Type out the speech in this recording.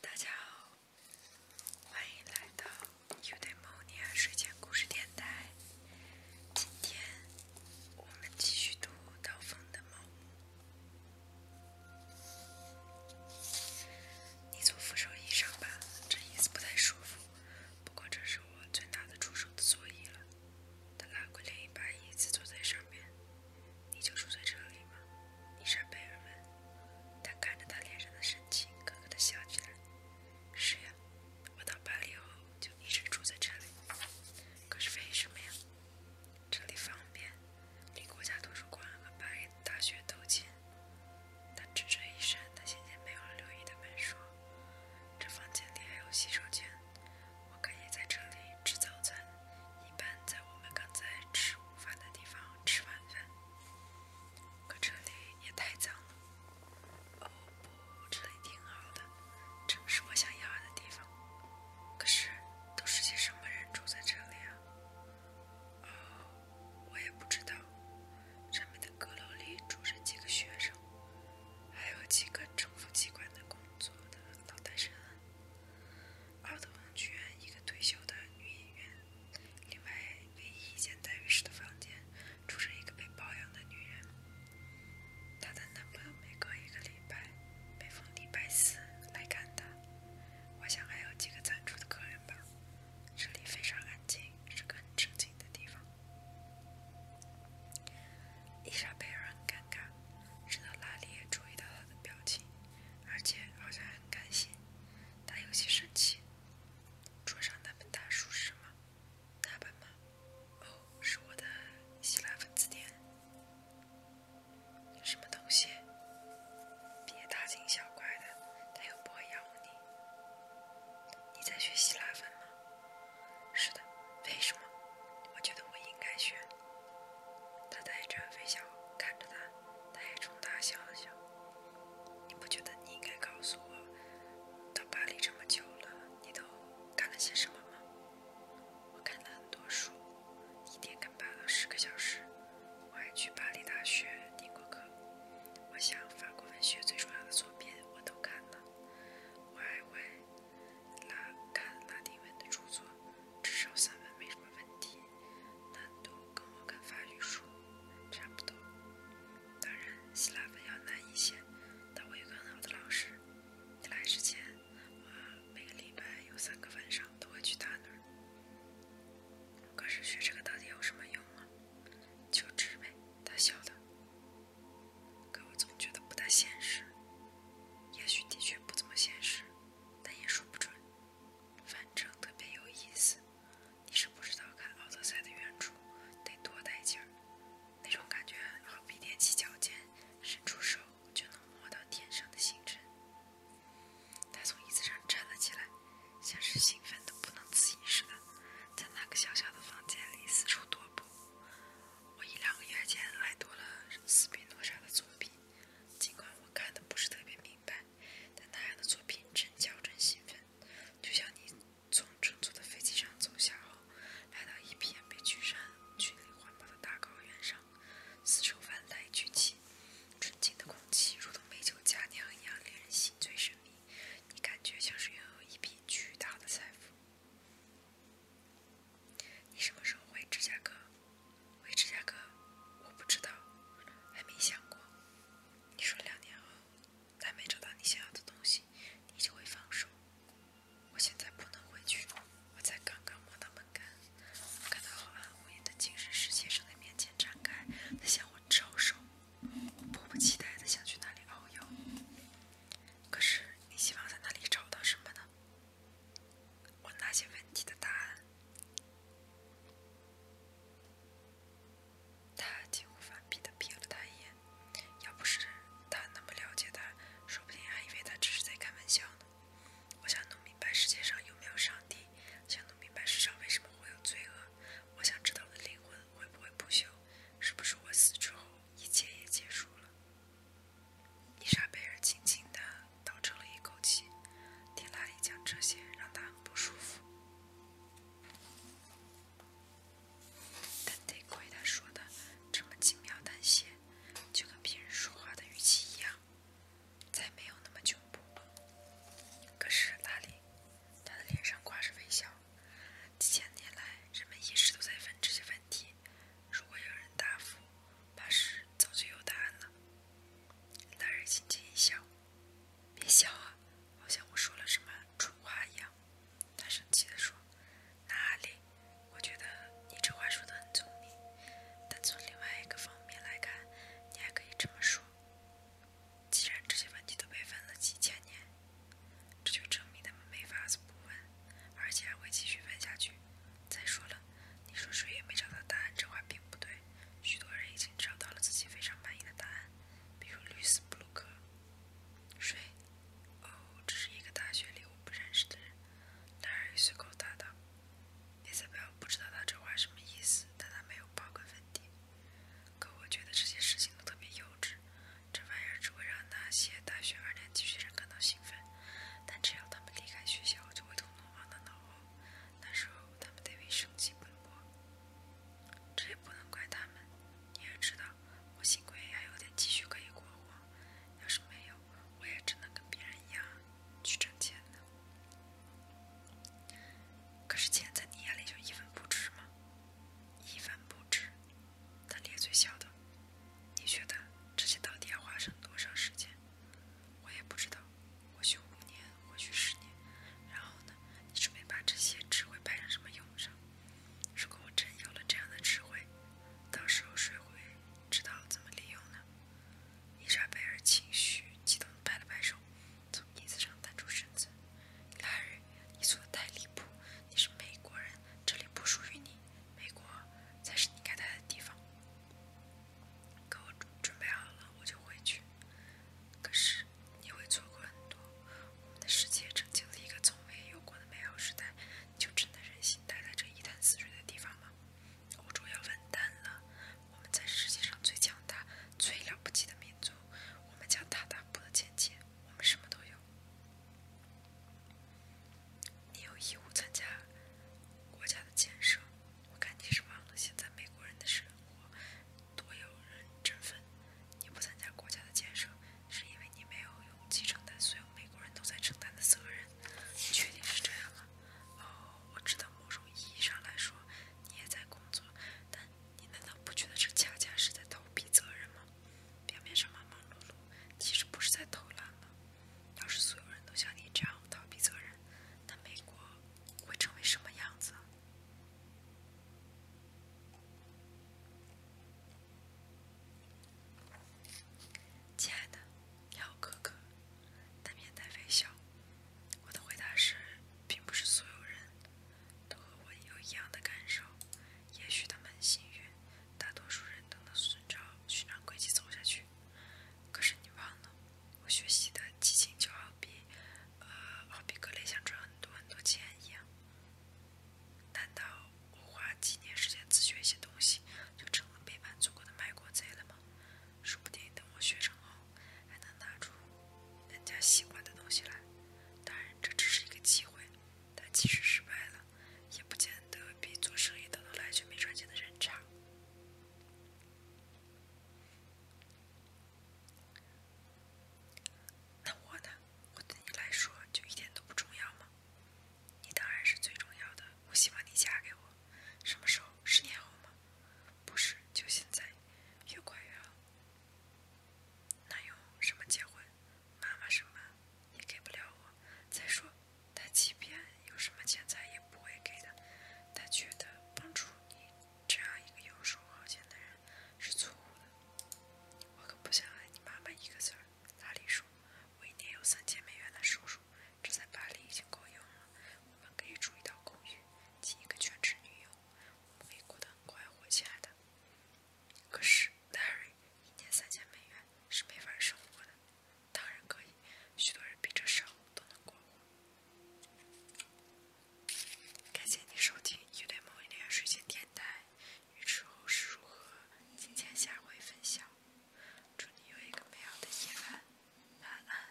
大家好，欢迎来到 u d a y m 睡前故事电台。今天我们继续读《刀锋的猫》。你坐扶手椅上吧，这椅子不太舒服，不过这是我最拿得出手的座椅了。他拉过另一把椅子，坐在上面。你就住在这里吗？尼莎贝尔问。他看着他脸上的神情，咯咯地笑起来。是呀，我到巴黎后就一直住在这里。可是为什么呀？这里方便，离国家图书馆和巴黎大学都近。他只说一声，他先前没有留意的门数。这房间里还有洗手间。我可以在这里吃早餐，一般在我们刚才吃午饭的地方吃晚饭。可这里也太脏了。哦不，这里挺好的，正是我想要的地方。可是，都是些什么人住在这里啊？哦，我也不知道。上面的阁楼里住着几个学生，还有几个政府机关的工作的老单身。奥特王剧院，一个退休的女演员。另外，唯一一间带浴室的房间，住着一个被包养的女人。她的男朋友每隔一个礼拜，每逢礼拜四来看她。我想还有几个暂住的客人吧。这里非常安静，是个很正经的地方。伊莎贝尔很尴尬。直到拉里也注意到他的表情，而且好像很开心。他有些生气。桌上那本大书是什么？那本吗？哦，是我的希腊文字典。什么东西？别大惊小怪的，它又不会咬你。你在学希腊文吗？是的。为什么？我觉得我应该学。他带着微笑看着他，他也冲他笑了笑。你不觉得你应该告诉我，到巴黎这么久了，你都干了些什么吗？我看了很多书，一天干八到十个小时。我还去巴黎大学听过课。我想法国文学最重要的作品我都看了。我还为。拉看拉丁文的著作，至少三本没什么问题，难度跟我看法语书差不多。当然希腊文要难一些，但我有个很好的老师。你来之前，我每个礼拜有三个晚上都会去他那儿。可是学这个到底有什么用啊？求职呗，他笑的。可我总觉得不大现实，也许的确不怎么现实，但也说不准。反正特别有意思。你是不知道看《奥德赛》的原著得多带劲儿，那种感觉好比踮起脚尖，伸出手就能摸到天上的星辰。他从椅子上站了起来，像是兴奋得不能自已似的，在那个小小的房间里四处踱步。我一两个月前还读了四宾诺莎的作品，尽管我看的不是特别明白，但那样的作品真叫人兴奋。就像你从乘坐的飞机上走下后，来到一片被群山群岭环抱的大高原上，四时万籁俱寂，纯净的空气如同美酒佳酿一样令人心醉神迷，你感觉像是拥有一笔巨大的财富。你什么时候回芝加哥？回芝加哥？我不知道，还没想过。你说两年后，再没找到你想要的东西，你就会放手。我现在不能回去，我才刚刚摸到门杆，我看到浩瀚无垠的精神世界正在面前展开，在向我招手。我迫不及待地想去那里遨游。可是，你希望在那里找到什么呢？我那些问题的答案。他几乎反鼻的瞥了他一眼，要不是他那么了解他，说不定还以为他只是在开玩笑呢。我想弄明白世界上有没有上帝，想弄明白世上为什么会有罪恶，我想知道我的灵魂会不会不朽，是不是我死之后一切也结束了。伊莎贝尔轻轻的倒抽了一口气，听拉里讲这些让她很不舒服，但得亏他说的这么轻描淡写，就跟别人说话的语气一样，再没有那么恐怖。可是拉里，他的脸上挂着微笑。几千年来，人们一直都在问这些问题。如果有人答复，怕是早就有答案了。男人轻轻一笑：“别笑啊，好像我说了什么蠢话一样。”他生气地说：“哪里？我觉得你这话说得很聪明。但从另外一个方面来看，你还可以这么说。既然这些问题都被问了几千年。”这就证明他们没法子不问，而且还会继续问下去。再说了，你说谁也没找到答案，这话并不对。许多人已经找到了自己非常满意的答案，比如绿色布鲁克。谁？哦，这是一个大学里我不认识的人。男也随口答道。伊莎贝尔不知道他这话什么意思，但他没有刨根问底。可我觉得这些事情都特别幼稚。这玩意儿只会让那些大学二年级学生感到兴奋，但只要他们离开学校，就会统统忘在脑后。那时候，他们得为生计奔波。这也不能怪他们。你也知道，我幸亏还有点积蓄可以过活。要是没有，我也只能跟别人一样去挣钱了。可是钱在你眼里就一分不值吗？一分不值。他咧嘴笑道：“你觉得这些到底要花上多少时间？我也不知道，或许五年，或许十年。然后呢？你准备把这些智慧派上什么用场？如果我真有了这样的智慧，到时候谁会知道怎么利用呢？”伊莎贝尔情绪激动，拍了拍手，从椅子上弹出身子，来。你做的太离谱，你是美国人，这里不属于你，美国才是你该待的地方。可我准备好了，我就回去。可是你会错过很多，我们的世界正经历一个从未有过的美好时代，你就真的忍心待在这一潭死水的地方吗？欧洲要完蛋了，我们在世界上最强大、最了不起的民族，我们将大大步的前进，我们什么都有。你有义务参加国家的建设，我看你是忘了现在美国人的生活多有人振奋。你不参加国家的建设，是因为你没有勇气承担所有美国人都在承担的责任。你确定是这样吗？哦，我知道，某种意义上来说，你也在工作，但。你难道不觉得这恰恰是在逃避责任吗？表面上忙忙碌碌，其实不是在偷懒吗？要是所有人都像你这样逃避责任，那美国会成为什么样子？亲爱的，你好，哥哥。他面带微笑，我的回答是，并不是所有人。都和我有一样的感受，也许他们很幸运，大多数人都能顺着寻常轨迹走下去。可是你忘了，我学习的激情就好比，呃，好比格雷想赚很多很多钱一样。难道我花几年时间自学一些东西，就成了背叛祖国的卖国贼了吗？说不定等我学成后，还能拿出。人家喜欢的东西来，当然这只是一个机会，但即使失败了，也不见得比做生意等到来却没赚钱的人差。那我呢？我对你来说就一点都不重要吗？你当然是最重要的。我希望你嫁给我，什么时候？十年后吗？不是，就现在，越快越好。那有什么结婚？妈妈什么也给不了我。再说，他即便有什么钱财，也不会给的。他觉得帮助你这样一个游手好闲的人是错误的。我可不想赖你妈妈一个字儿。拉里说，我一年有三千美元的收入，这在巴黎已经够用了。我们可以住一套公寓，请一个全职女友。我们会过得快活，亲爱的。可是，Nary，一年三千美元是没法生活的。当然可以，许多人比这少都能过活。感谢您收听《愚对某一年》睡前电台，预知后事如何，敬请下回分享。祝你有一个美好的夜晚，晚安。